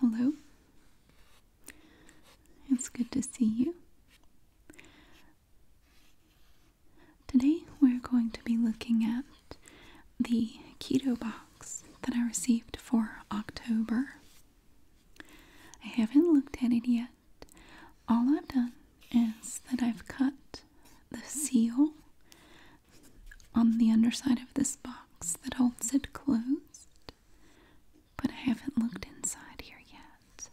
Hello. It's good to see you. Today we're going to be looking at the keto box that I received for October. I haven't looked at it yet. All I've done is that I've cut the seal on the underside of this box that holds it closed, but I haven't looked inside here yet.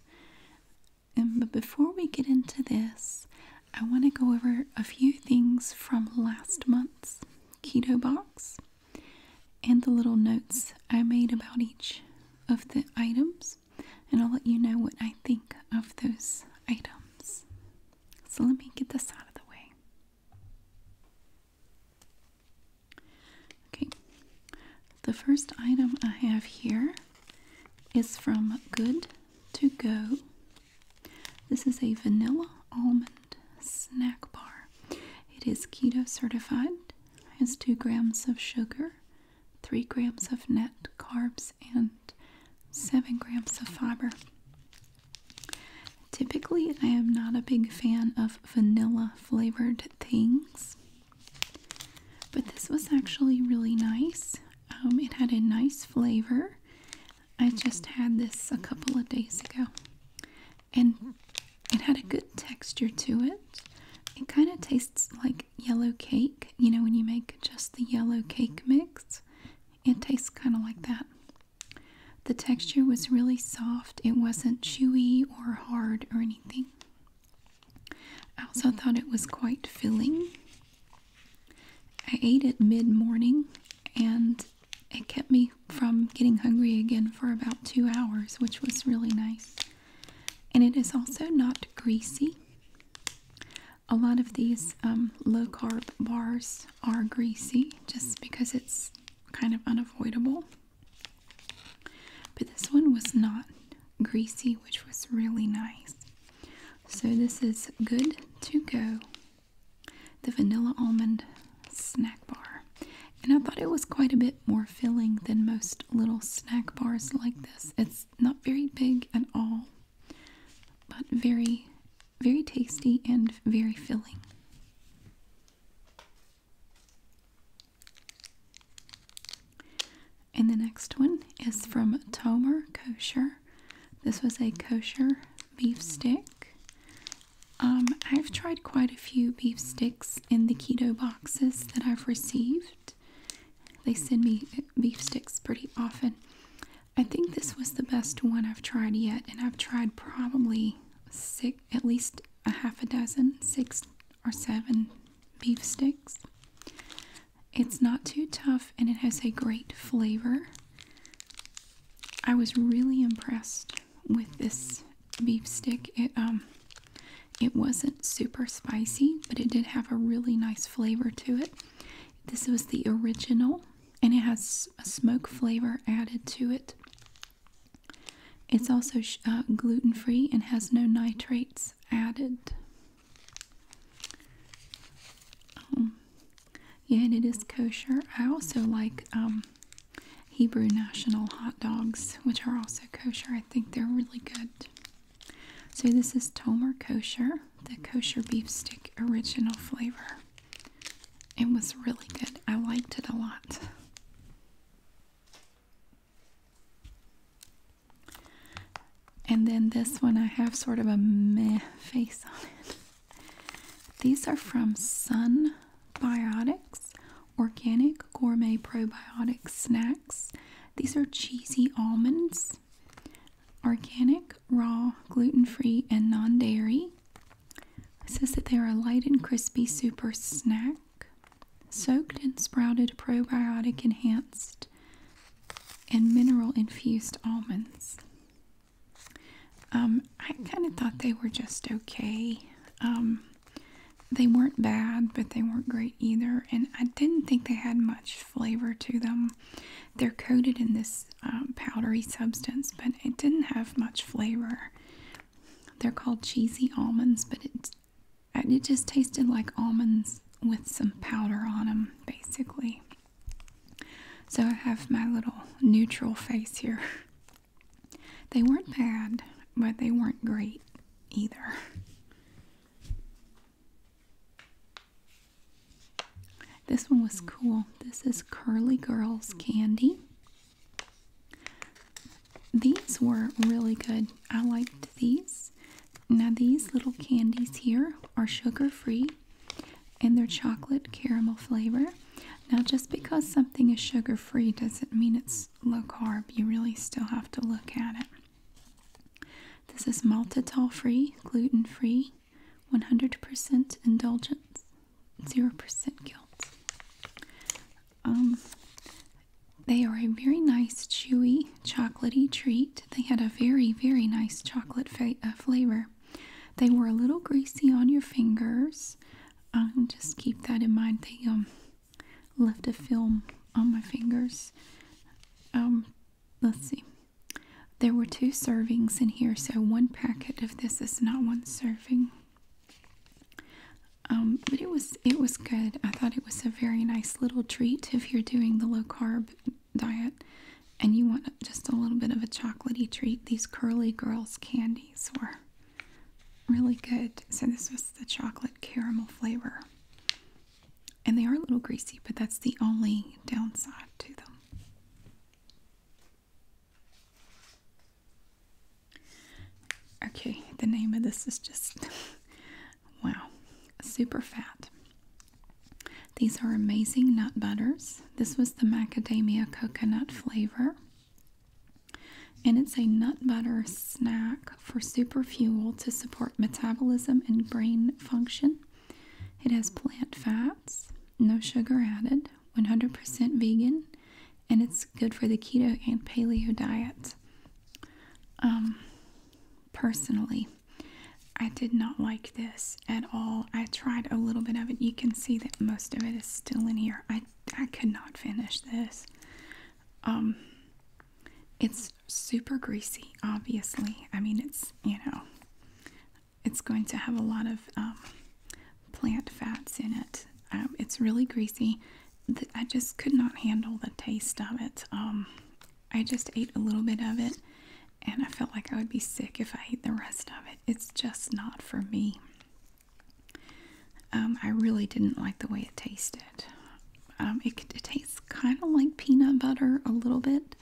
And um, but before we get into this, I want to go over a few things from last month's keto box and the little notes I made about each of the items, and I'll let you know what I think of those items. So let me get this out of the way. Okay, the first item I have here is from Good to Go. This is a vanilla almond snack bar. It is keto certified, has 2 grams of sugar, 3 grams of net carbs, and 7 grams of fiber. Typically, I am not a big fan of vanilla flavored things, but this was actually really nice. Um, it had a nice flavor. I just had this a couple of days ago, and it had a good texture to it. It kind of tastes like yellow cake, you know, when you make just the yellow cake mix, it tastes kind of like that. The texture was really soft, it wasn't chewy or hard or anything. I also mm-hmm. thought it was quite filling. I ate it mid morning and it kept me from getting hungry again for about two hours, which was really nice. And it is also not greasy. A lot of these um, low carb bars are greasy just because it's kind of unavoidable. But this one was not greasy, which was really nice. So, this is Good to Go, the vanilla almond snack bar. And I thought it was quite a bit more filling than most little snack bars like this. It's not very big at all, but very, very tasty and very filling. And the next one is from Tomer Kosher. This was a kosher beef stick. Um, I've tried quite a few beef sticks in the keto boxes that I've received. They send me beef sticks pretty often. I think this was the best one I've tried yet, and I've tried probably six, at least a half a dozen, six or seven beef sticks. It's not too tough and it has a great flavor. I was really impressed with this beef stick. It um it wasn't super spicy, but it did have a really nice flavor to it. This was the original and it has a smoke flavor added to it. It's also uh, gluten free and has no nitrates added. Um, yeah, and it is kosher. I also like um, Hebrew National hot dogs, which are also kosher. I think they're really good. So, this is Tomer Kosher, the kosher beef stick original flavor. It was really good. I liked it a lot. And then this one, I have sort of a meh face on it. These are from Sun Biotics Organic Gourmet Probiotic Snacks. These are cheesy almonds, organic, raw, gluten free, and non dairy. It says that they are a light and crispy super snack. Soaked and sprouted probiotic enhanced and mineral infused almonds. Um, I kind of thought they were just okay. Um, they weren't bad, but they weren't great either. And I didn't think they had much flavor to them. They're coated in this um, powdery substance, but it didn't have much flavor. They're called cheesy almonds, but it it just tasted like almonds with some powder on them, basically. So I have my little neutral face here. They weren't bad, but they weren't great either. This one was cool. This is Curly Girls Candy. These were really good. I liked these. Now, these little candies here are sugar free and they're chocolate caramel flavor. Now, just because something is sugar free doesn't mean it's low carb. You really still have to look at it. This is maltitol free, gluten free, 100% indulgence zero percent guilt. Um, they are a very nice, chewy, chocolaty treat. They had a very, very nice chocolate uh, flavor. They were a little greasy on your fingers. Um, just keep that in mind. They um left a film on my fingers. Um, let's see. There were two servings in here, so one packet of this is not one serving. Um, but it was it was good. I thought it was a very nice little treat if you're doing the low carb diet and you want just a little bit of a chocolatey treat. These Curly Girls candies were really good. So this was the chocolate caramel flavor. And they are a little greasy, but that's the only downside to them. Okay, the name of this is just wow, super fat. These are amazing nut butters. This was the macadamia coconut flavor. And it's a nut butter snack for super fuel to support metabolism and brain function. It has plant fats, no sugar added, 100% vegan, and it's good for the keto and paleo diets. Um, personally, I did not like this at all. I tried a little bit of it. You can see that most of it is still in here. I, I could not finish this. Um, it's super greasy, obviously. I mean, it's, you know, it's going to have a lot of um, plant fats in it. Um, it's really greasy. I just could not handle the taste of it. Um, I just ate a little bit of it and I felt like I would be sick if I ate the rest of it. It's just not for me. I really didn't like the way it tasted. it tastes kind of like peanut butter a little bit.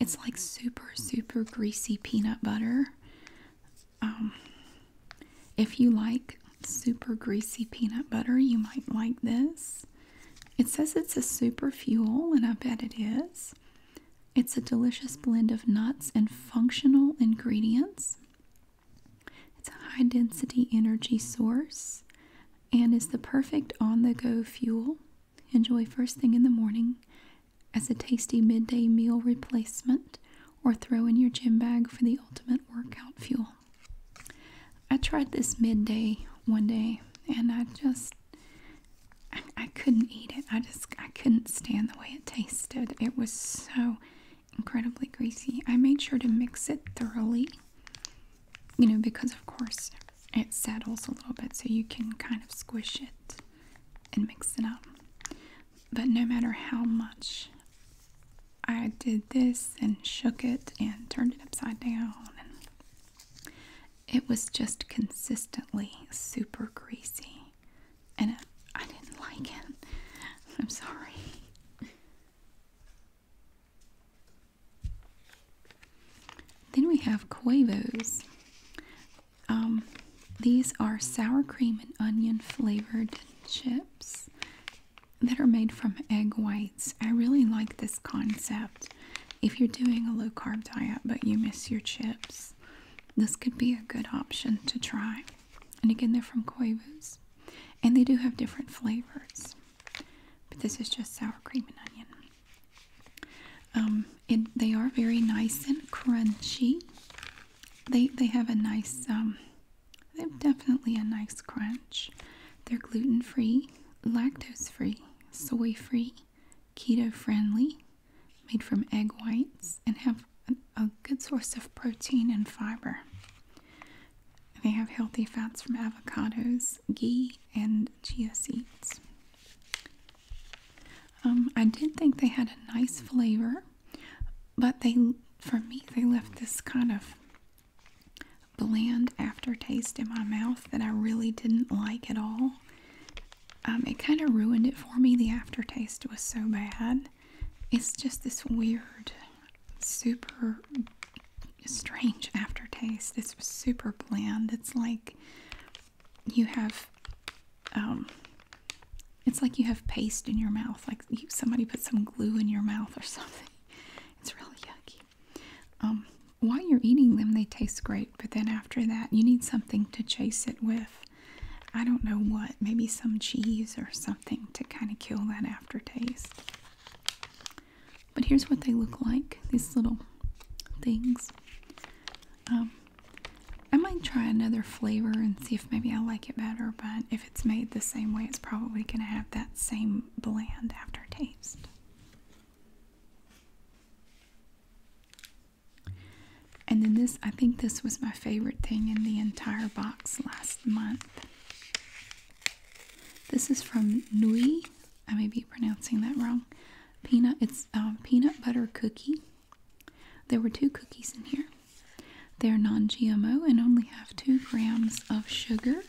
It's like super, super greasy peanut butter. Um, if you like super greasy peanut butter, you might like this. It says it's a super fuel, and I bet it is. It's a delicious blend of nuts and functional ingredients. It's a high density energy source and is the perfect on the go fuel. Enjoy first thing in the morning as a tasty midday meal replacement or throw in your gym bag for the ultimate workout fuel. I tried this midday one day and I just I, couldn't eat it. I just I couldn't stand the way it tasted. It was so incredibly greasy. I made sure to mix it thoroughly. You know, because of course it settles a little bit so you can kind of squish it and mix it up. But no matter how much I did this and shook it and turned it upside down, it was just consistently super greasy. And I didn't like it. I'm sorry. Then we have Quavos. Um, these are sour cream and onion flavored chips that are made from egg whites. I really like this concept. If you're doing a low carb diet but you miss your chips, this could be a good option to try. And again, they're from Quavos and they do have different flavors. But this is just sour cream and onion. Um, they are very nice and crunchy they they have a nice um, they have definitely a nice crunch. They're gluten free, lactose free, soy free, keto friendly, made from egg whites, and have a good source of protein and fiber. They have healthy fats from avocados, ghee, and chia seeds. Um, I did think they had a nice hmm. flavor, but they, for me, they left this kind of bland aftertaste in my mouth that I really didn't like at all. Um, it kind of ruined it for me. The aftertaste was so bad. It's just this weird, super strange aftertaste. It's super bland. It's like you have um, it's like you have paste in your mouth, like somebody put some glue in your mouth or something. It's really yucky. Um, while you're eating them, they taste great, but then after that, you need something to chase it with. I don't know what, maybe some cheese or something to kind of kill that aftertaste. But here's what they look like these little things. Um, I might try another flavor and see if maybe I like it better, but if it's made the same way, it's probably going to have that same bland aftertaste. And then this, I think this was my favorite thing in the entire box last month. This is from Nui. I may be pronouncing that wrong. Peanut, it's uh, peanut butter cookie. There were two cookies in here. They're non GMO and only have two grams of sugar.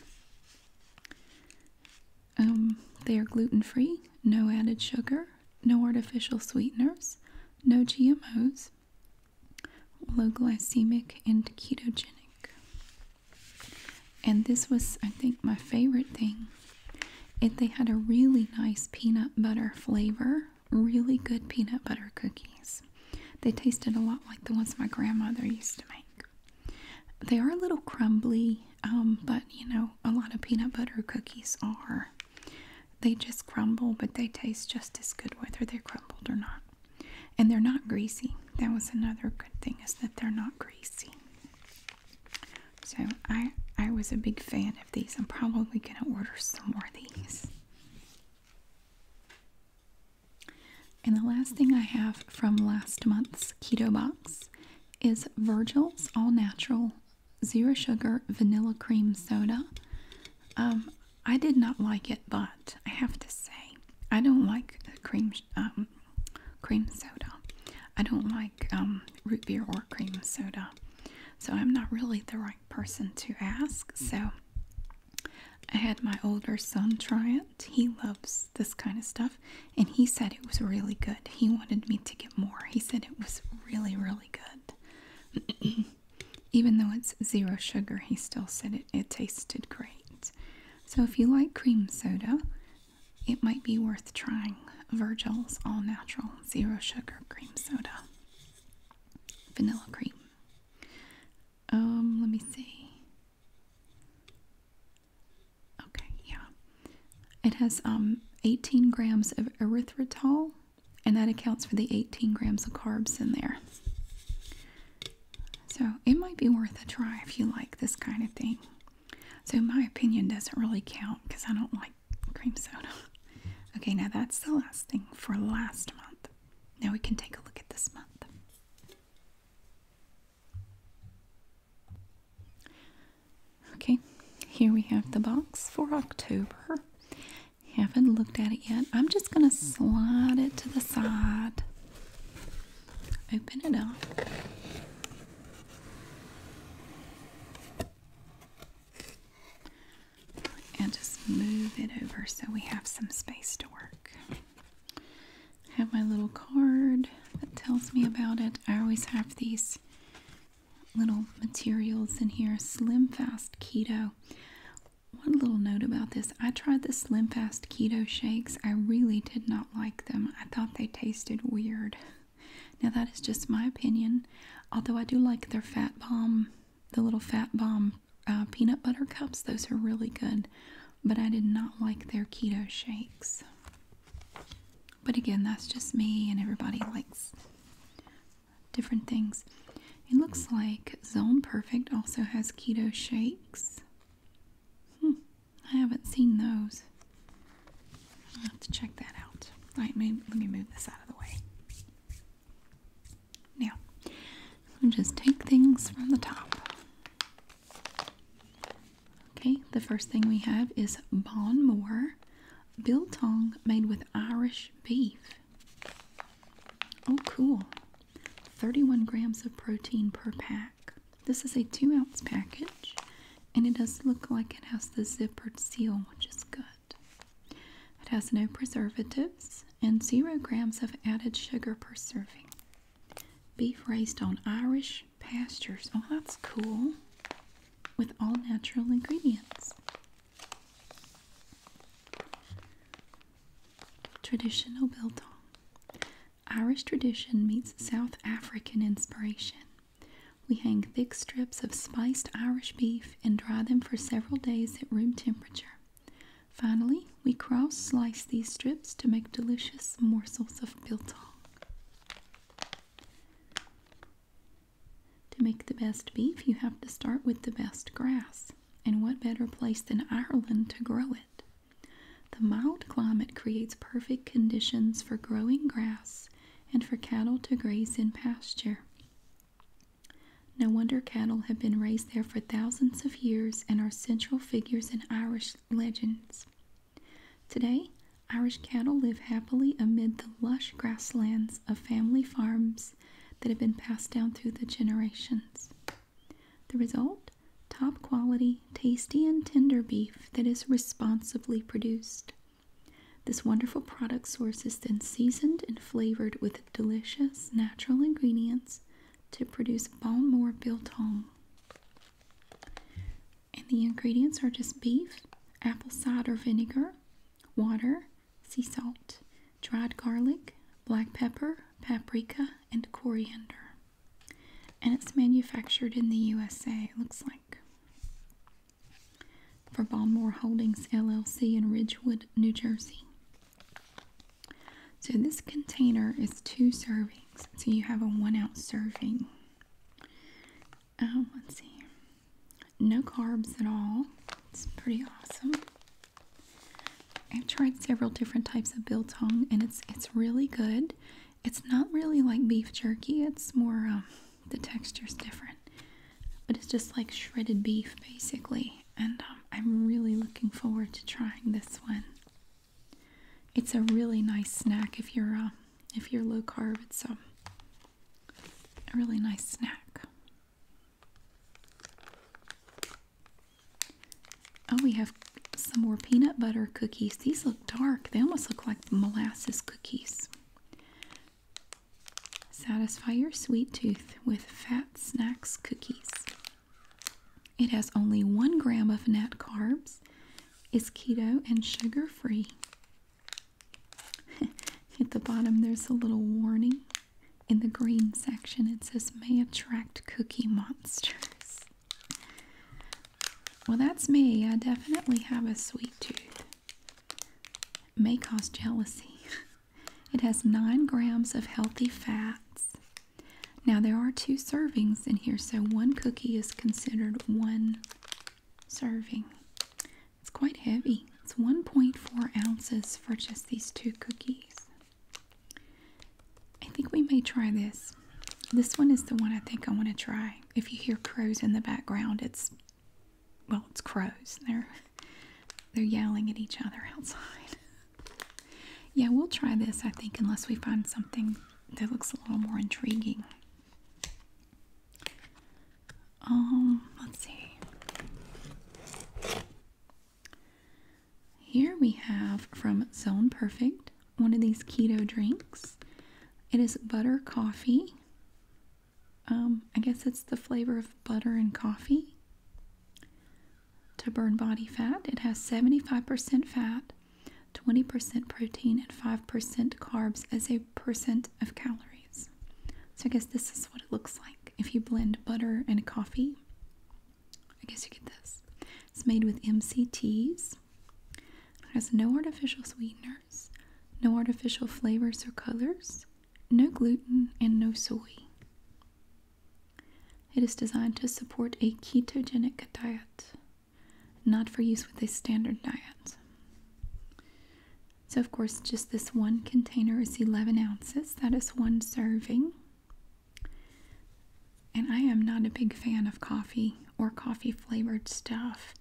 Um, they are gluten free, no added sugar, no artificial sweeteners, no GMOs, low glycemic, and ketogenic. And this was, I think, my favorite thing. It, they had a really nice peanut butter flavor really good peanut butter cookies. They tasted a lot like the ones my grandmother used to make. They are a little crumbly, um, but you know, a lot of peanut butter cookies are. They just crumble, but they taste just as good whether they're crumbled or not. And they're not greasy. That was another good thing is that they're not greasy. So I I was a big fan of these. I'm probably going to order some more of these. And the last thing I have from last month's keto box is Virgil's All Natural Zero Sugar Vanilla Cream Soda. Um, I did not like it, but I have to say, I don't like cream um, cream soda. I don't like um, root beer or cream soda, so I'm not really the right person to ask. So I had my older son try it. He loves this kind of stuff and he said it was really good. He wanted me to get more. He said it was really, really good. Even though it's zero sugar, he still said it tasted great. So if you like cream soda, it might be worth trying Virgil's All Natural Zero Sugar Cream Soda vanilla cream. Um, let me see. Okay, yeah. It has um 18 grams of erythritol, and that accounts for the 18 grams of carbs in there. So it might be worth a try if you like this kind of thing. So my opinion doesn't really count because I don't like cream soda. Okay, now that's the last thing for last month. Now we can take a look at this month. Okay, here we have the box for October. Haven't looked at it yet. I'm just going to slide it to the side. Open it up and just move it over so we have some space to work. I have my little card that tells me about it. I always have these little materials in here. Slim Fast Keto. One little note about this. I tried the Slim Fast Keto shakes. I really did not like them. I thought they tasted weird. Now, that is just my opinion, although I do like their Fat Bomb, the little Fat Bomb uh, peanut butter cups, those are really good, but I did not like their keto shakes. But again, that's just me, and everybody likes different things. It looks like Zone Perfect also has keto shakes. Hmm, I haven't seen those. i have to check that out. All right, let me move this out of the way. Now, we me just take things from the top. Okay, the first thing we have is Bon Moore biltong made with Irish beef. Oh, cool. 31 grams of protein per pack. This is a two ounce package, and it does look like it has the zippered seal, which is good. It has no preservatives and zero grams of added sugar per serving. Beef raised on Irish pastures. Oh, that's cool. With all natural ingredients. Traditional biltong. Irish tradition meets South African inspiration. We hang thick strips of spiced Irish beef and dry them for several days at room temperature. Finally, we cross slice these strips to make delicious morsels of biltong. To make the best beef, you have to start with the best grass, and what better place than Ireland to grow it? The mild climate creates perfect conditions for growing grass and for cattle to graze in pasture. No wonder cattle have been raised there for thousands of years and are central figures in Irish legends. Today, Irish cattle live happily amid the lush grasslands of family farms that have been passed down through the generations. The result? Top quality, tasty, and tender beef that is responsibly produced. This wonderful product source is then seasoned and flavored with delicious natural ingredients to produce Balmore Biltong. And the ingredients are just beef, apple cider vinegar, water, sea salt, dried garlic, black pepper, paprika, and coriander. And it's manufactured in the USA, it looks like for Balmore Holdings LLC in Ridgewood, New Jersey. So this container is two servings. So you have a one ounce serving. Um, let's see. No carbs at all. It's pretty awesome. I've tried several different types of biltong and it's it's really good. It's not really like beef jerky. It's more um, the texture is different but it's just like shredded beef basically and um, i'm really looking forward to trying this one it's a really nice snack if you're uh, if you're low carb it's um, a really nice snack oh we have some more peanut butter cookies these look dark they almost look like molasses cookies Satisfy your sweet tooth with Fat Snacks cookies. It has only one gram of net carbs, is keto and sugar free. At the bottom, there's a little warning. In the green section, it says may attract cookie monsters. Well, that's me. I definitely have a sweet tooth may cause jealousy. it has 9 grams of healthy fats. Now, there are two servings in here, so one cookie is considered one serving. It's quite heavy. It's 1.4 ounces for just these two cookies. I think we may try this. This one is the one I think I want to try. If you hear crows in the background, it's well, it's crows. They're they're yelling at each other outside. yeah, we'll try this, I think, unless we find something that looks a little more intriguing. Um, let's see. Here we have from Zone Perfect one of these keto drinks. It is butter coffee um, I guess it's the flavor of butter and coffee. To burn body fat, it has 75% fat, 20% protein, and 5% carbs as a percent of calories. So I guess this is what it looks like if you blend butter and coffee. I guess you get this. It's made with MCTs. It has no artificial sweeteners, no artificial flavors or colors no gluten, and no soy. It is designed to support a ketogenic diet, not for use with a standard diet. So, of course, just this one container is 11 ounces. That is one serving. And I am not a big fan of coffee or coffee flavored stuff.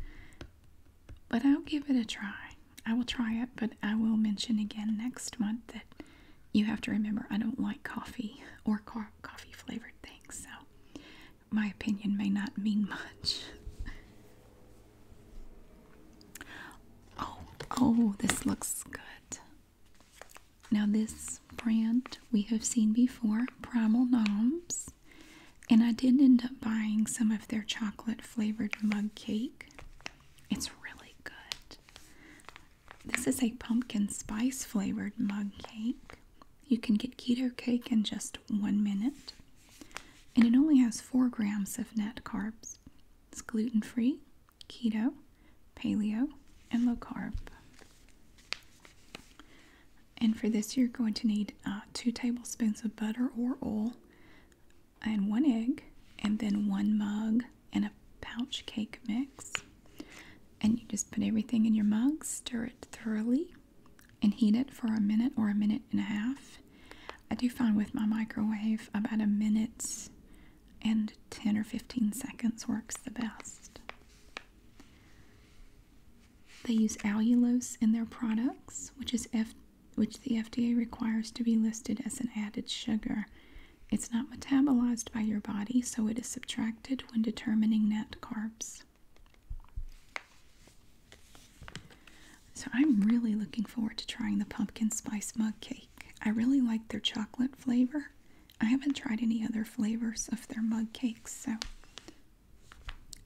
But I'll give it a try. I will try it, but I will mention again next month that you have to remember I don't like coffee or coffee flavored things, so my opinion may not mean much. Oh, oh, this looks good. Now, this brand we have seen before, Primal Gnomes, and I did end up buying some of their chocolate flavored mug cake. It's really good. This is a pumpkin spice flavored mug cake. You can get keto cake in just one minute. And it only has 4 grams of net carbs. It's gluten free, keto, paleo, and low carb. And for this, you're going to need uh, 2 tablespoons of butter or oil, and one egg, and then one mug and a pouch cake mix. And you just put everything in your mug, stir it thoroughly, and heat it for a minute or a minute and a half. I do find with my microwave about a minute and 10 or 15 seconds works the best. They use allulose in their products, which is which the FDA requires to be listed as an added sugar. It's not metabolized by your body, so it is subtracted when determining net carbs. So I'm really looking forward to trying the pumpkin spice mug cake. I really like their chocolate flavor. I haven't tried any other flavors of their mug cakes, so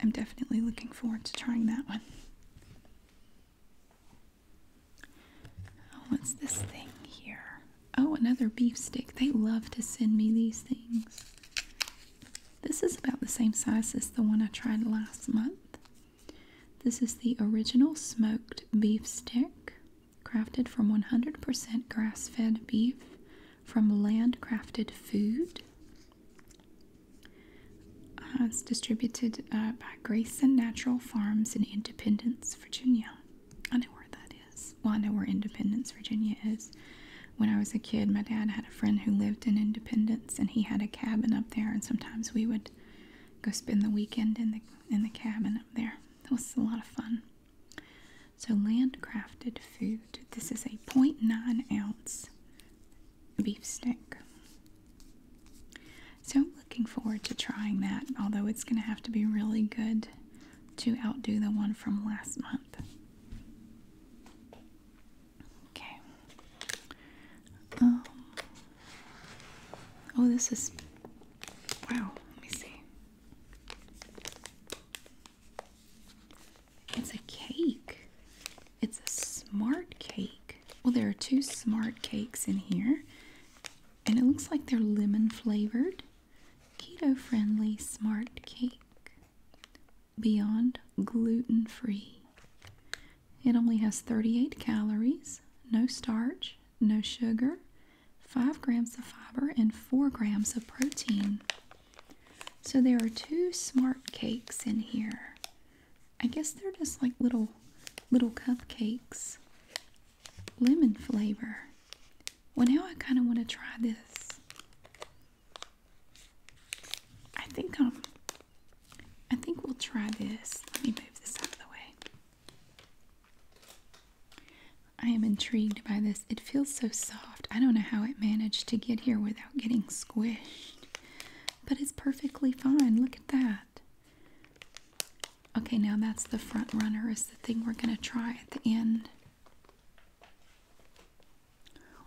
I'm definitely looking forward to trying that one. Oh, what's this thing here? Oh, another beef stick. They love to send me these things. This is about the same size as the one I tried last month. This is the original smoked beef stick, crafted from 100% grass fed beef from landcrafted food. Uh, it's distributed uh, by Grace and Natural Farms in Independence, Virginia. I know where that is. Well, I know where Independence, Virginia is. When I was a kid, my dad had a friend who lived in Independence, and he had a cabin up there. And sometimes we would go spend the weekend in the in the cabin up there. That was a lot of fun. So, landcrafted food. This is a 0.9 ounce beef stick. So I'm looking forward to trying that, although it's going to have to be really good to outdo the one from last month. Okay. Um, oh, this is. Wow, let me see. It's a cake. It's a smart cake. Well, there are two smart cakes in here, and it looks like they're lemon flavored. Keto friendly smart cake. Beyond gluten free. It only has 38 calories, no starch, no sugar, 5 grams of fiber, and 4 grams of protein. So there are two smart cakes in here. I guess they're just like little little cupcakes. Lemon flavor. Well, now I kind of want to try this. I think um I think we'll try this. Let me move this out of the way. I am intrigued by this. It feels so soft. I don't know how it managed to get here without getting squished. But it's perfectly fine. Look at that. Okay, now that's the front runner is the thing we're going to try at the end.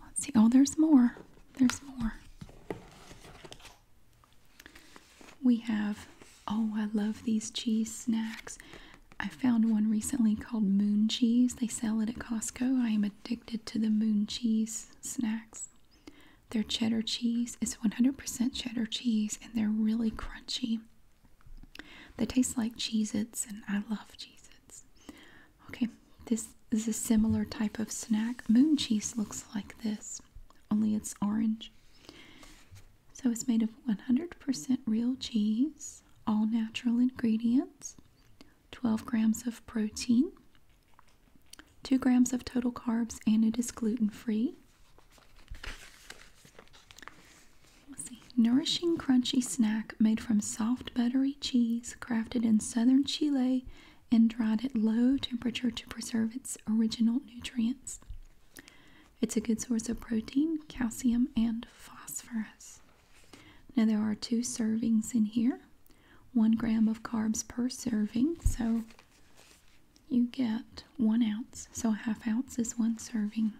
Let's see. Oh, there's more. There's more. We have, oh, I love these cheese snacks. I found one recently called Moon Cheese. They sell it at Costco. I am addicted to the Moon Cheese snacks. Their cheddar cheese is 100% cheddar cheese and they're really crunchy. They taste like Cheez and I love Cheez Okay, this is a similar type of snack. Moon cheese looks like this, only it's orange. So it's made of 100% real cheese, all natural ingredients, 12 grams of protein, 2 grams of total carbs, and it is gluten free. Nourishing crunchy snack made from soft buttery cheese crafted in southern Chile and dried at low temperature to preserve its original nutrients. It's a good source of protein, calcium, and phosphorus. Now, there are two servings in here, one gram of carbs per serving, so you get one ounce. So a half ounce is one serving.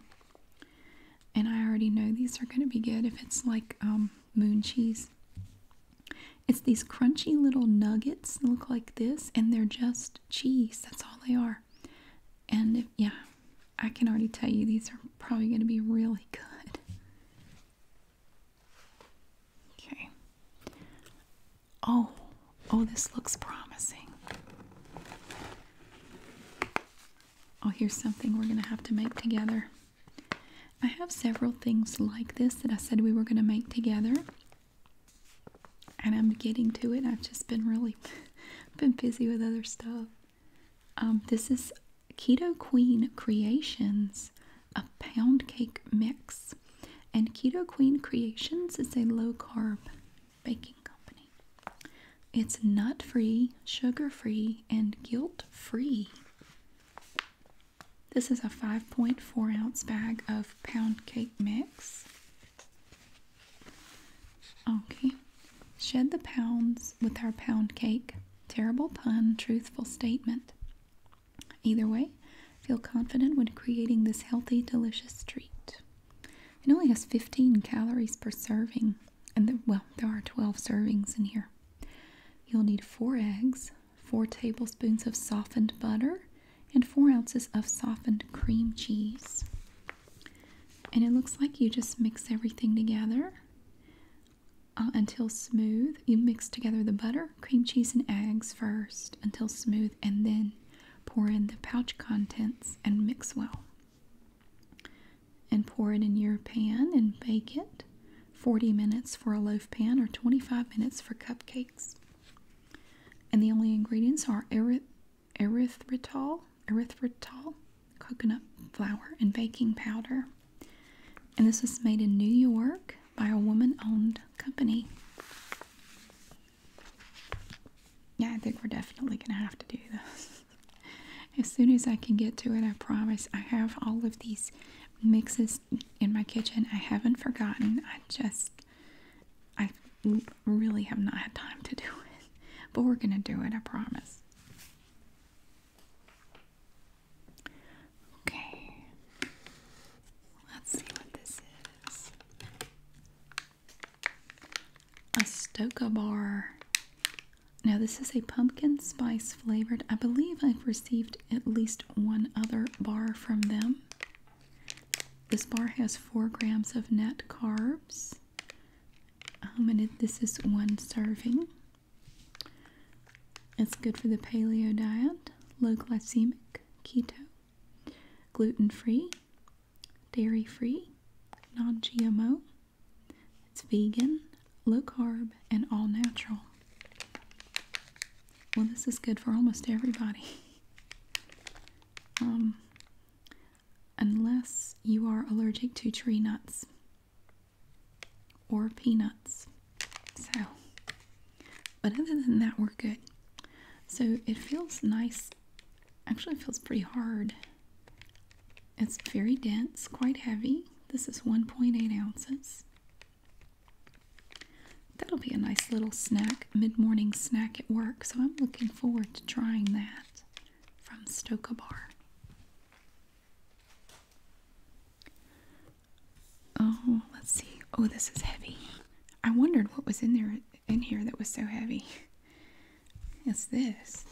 And I already know these are going to be good if it's like um, moon cheese. It's these crunchy little nuggets look like this, and they're just cheese. That's all they are. And yeah, I can already tell you these are probably going to be really good. Okay. Oh, oh, this looks promising. Oh, here's something we're going to have to make together. I have several things like this that I said we were going to make together. And I'm getting to it. I've just been really been busy with other stuff. Um, this is Keto Queen Creations a pound cake mix. And Keto Queen Creations is a low carb baking company. It's nut free, sugar free, and guilt free. This is a 5.4 ounce bag of pound cake mix. Okay. Shed the pounds with our pound cake. Terrible pun, truthful statement. Either way, feel confident when creating this healthy, delicious treat. It only has 15 calories per serving, and well, there are 12 servings in here. You'll need four eggs, four tablespoons of softened butter, and four ounces of softened cream cheese. And it looks like you just mix everything together uh, until smooth. You mix together the butter, cream cheese and eggs first until smooth and then pour in the pouch contents and mix well. And pour it in your pan and bake it 40 minutes for a loaf pan or 25 minutes for cupcakes. And the only ingredients are erythritol, erythritol, coconut flour, and baking powder. And this is made in New York by a woman owned company. Yeah, I think we're definitely gonna have to do this. as soon as I can get to it, I promise. I have all of these mixes in my kitchen. I haven't forgotten. I just, I really have not had time to do it. But we're gonna do it, I promise. Okay. Let's see what this is. A Stoka bar. Now this is a pumpkin spice flavored. I believe I've received at least one other bar from them. This bar has four grams of net carbs. Um, and this is one serving. It's good for the paleo diet, low glycemic, keto, gluten free, dairy free, non GMO, it's vegan, low carb, and all natural. Well, this is good for almost everybody. Um, unless you are allergic to tree nuts or peanuts. So, but other than that, we're good. So it feels nice. Actually, it feels pretty hard. It's very dense, quite heavy. This is 1.8 ounces. That'll be a nice little snack, mid-morning snack at work. So I'm looking forward to trying that from Stoka Bar. Oh, let's see. Oh, this is heavy. I wondered what was in there in here that was so heavy. It's this.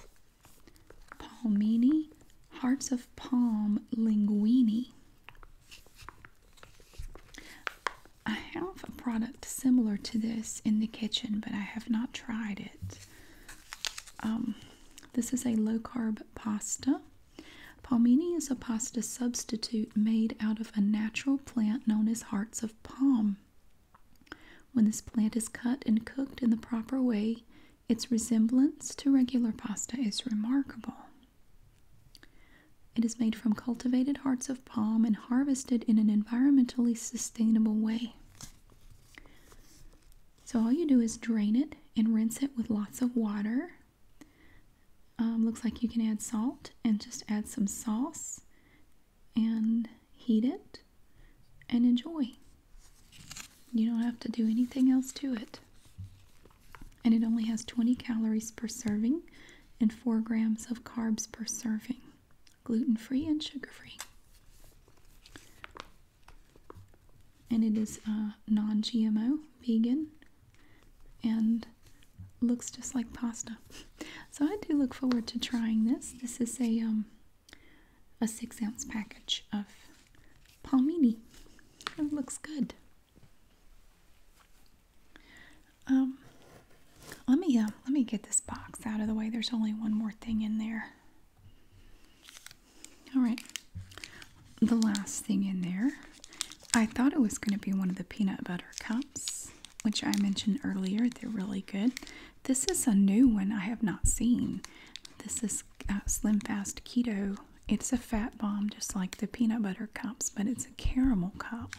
Palmini, hearts of palm linguini. I have a product similar to this in the kitchen, but I have not tried it. Um, this is a low carb pasta Palmini is a pasta substitute made out of a natural plant known as hearts of palm. When this plant is cut and cooked in the proper way, its resemblance to regular pasta is remarkable. It is made from cultivated hearts of palm and harvested in an environmentally sustainable way. So, all you do is drain it and rinse it with lots of water um, looks like you can add salt and just add some sauce and heat it and enjoy. You don't have to do anything else to it. And it only has 20 calories per serving and 4 grams of carbs per serving, gluten free and sugar free. And it is uh, non GMO, vegan, and looks just like pasta. So I do look forward to trying this. This is a um a six ounce package of palmini. It looks good. Um, let me uh, let me get this box out of the way. There's only one more thing in there. All right, the last thing in there, I thought it was going to be one of the peanut butter cups, which I mentioned earlier. They're really good. This is a new one I have not seen. This is uh, Slim Fast Keto. It's a fat bomb, just like the peanut butter cups, but it's a caramel cup.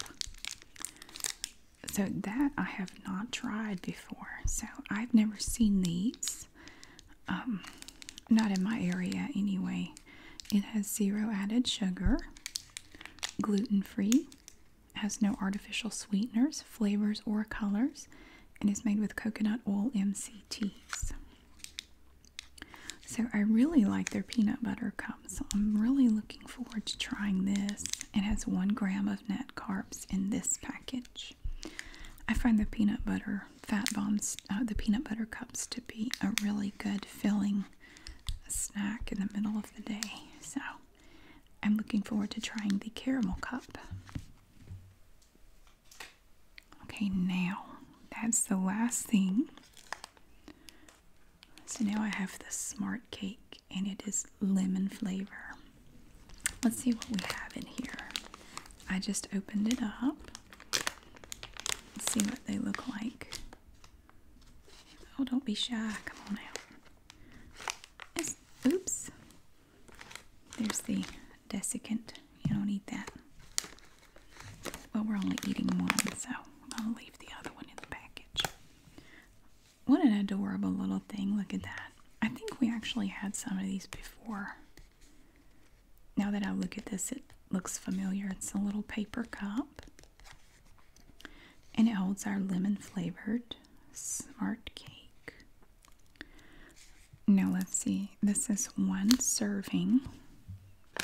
So that I have not tried before. So I've never seen these. Um, not in my area anyway. It has zero added sugar, gluten free, has no artificial sweeteners, flavors, or colors, and is made with coconut oil MCTs. So I really like their peanut butter cups. I'm really looking forward to trying this. It has one gram of net carbs in this package. I find the peanut butter fat bombs, uh, the peanut butter cups to be a really good filling a snack in the middle of the day. So I'm looking forward to trying the caramel cup. Okay, now that's the last thing. So now I have the smart cake and it is lemon flavor. Let's see what we have in here. I just opened it up. see what they look like. Oh, don't be shy. Come on out. oops. There's the desiccant. You don't need that. Well, we're only eating one, so I'll leave the other one in the package. What an adorable little thing. Look at that. I think we actually had some of these before. Now that I look at this, it looks familiar. It's a little paper cup. And it holds our lemon flavored smart cake. Now let's see. This is one serving. I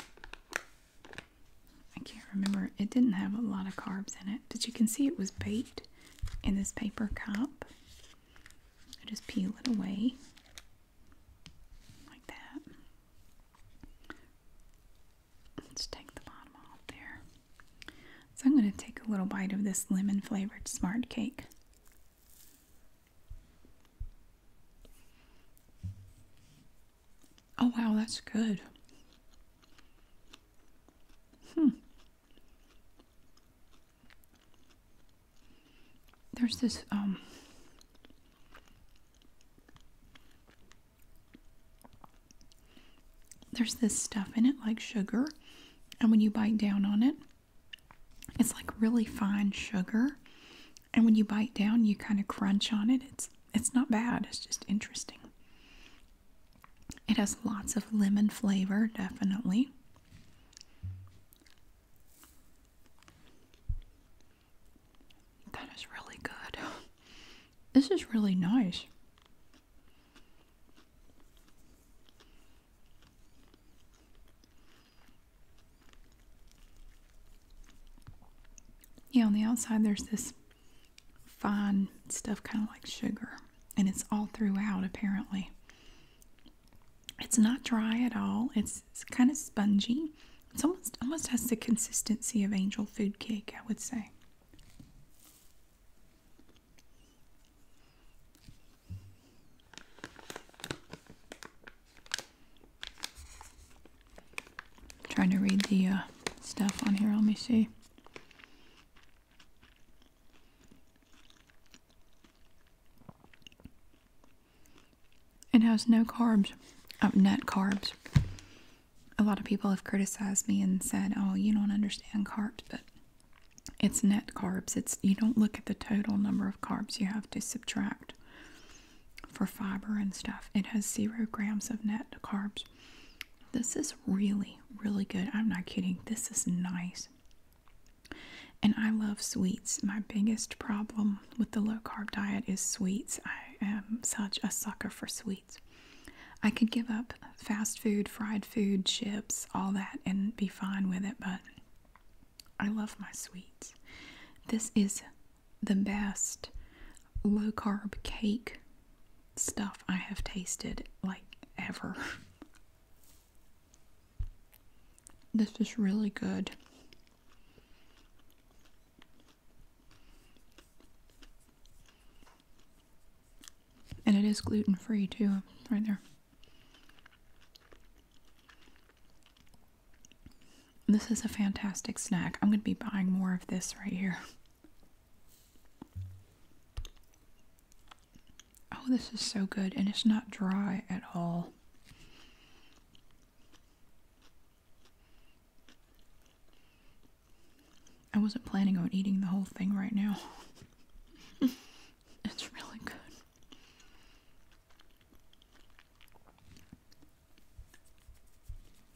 can't remember. It didn't have a lot of carbs in it, but you can see it was baked in this paper cup. I just peel it away like that. Let's take the bottom off there. So I'm going to take a little bite of this lemon flavored smart cake. Oh wow, that's good. Hmm. There's this um there's this stuff in it, like sugar, and when you bite down on it, it's like really fine sugar. And when you bite down, you kind of crunch on it. It's it's not bad. It's just interesting. It has lots of lemon flavor, definitely. That is really good. This is really nice. Yeah, on the outside there's this fine stuff, kind of like sugar, and it's all throughout apparently. It's not dry at all. It's it's kind of spongy. It's almost almost has the consistency of angel food cake, I would say. trying to read the uh, stuff on here. Let me see. It has no carbs, uh, net carbs. A lot of people have criticized me and said, "Oh, you don't understand carbs," but it's net carbs. It's you don't look at the total number of carbs you have to subtract for fiber and stuff. It has zero grams of net carbs. This is really, really good. I'm not kidding. This is nice. And I love sweets. My biggest problem with the low carb diet is sweets. I am such a sucker for sweets. I could give up fast food, fried food, chips, all that, and be fine with it, but I love my sweets. This is the best low carb cake stuff I have tasted like ever. This is really good. And it is gluten free too, right there. This is a fantastic snack. I'm going to be buying more of this right here. Oh, this is so good, and it's not dry at all. I wasn't planning on eating the whole thing right now. it's really good.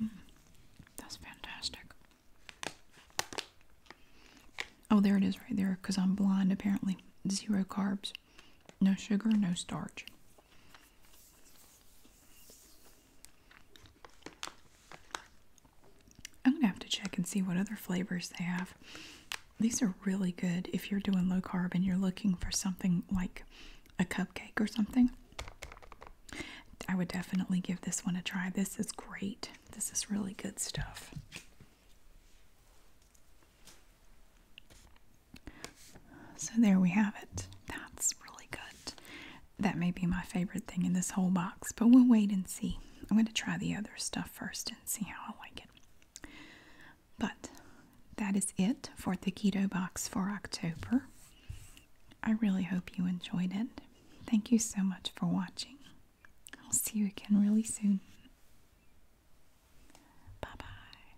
Mm, that's fantastic. Oh, there it is right there because I'm blind apparently. Zero carbs, no sugar, no starch. I'm gonna have to check and see what other flavors they have. These are really good if you're doing low carb and you're looking for something like a cupcake or something. I would definitely give this one a try. This is great. This is really good stuff. So there we have it. That's really good. That may be my favorite thing in this whole box, but we'll wait and see. I'm going to try the other stuff first and see how I like it. But that is it for the keto box for October. I really hope you enjoyed it. Thank you so much for watching. I'll see you again really soon. Bye bye.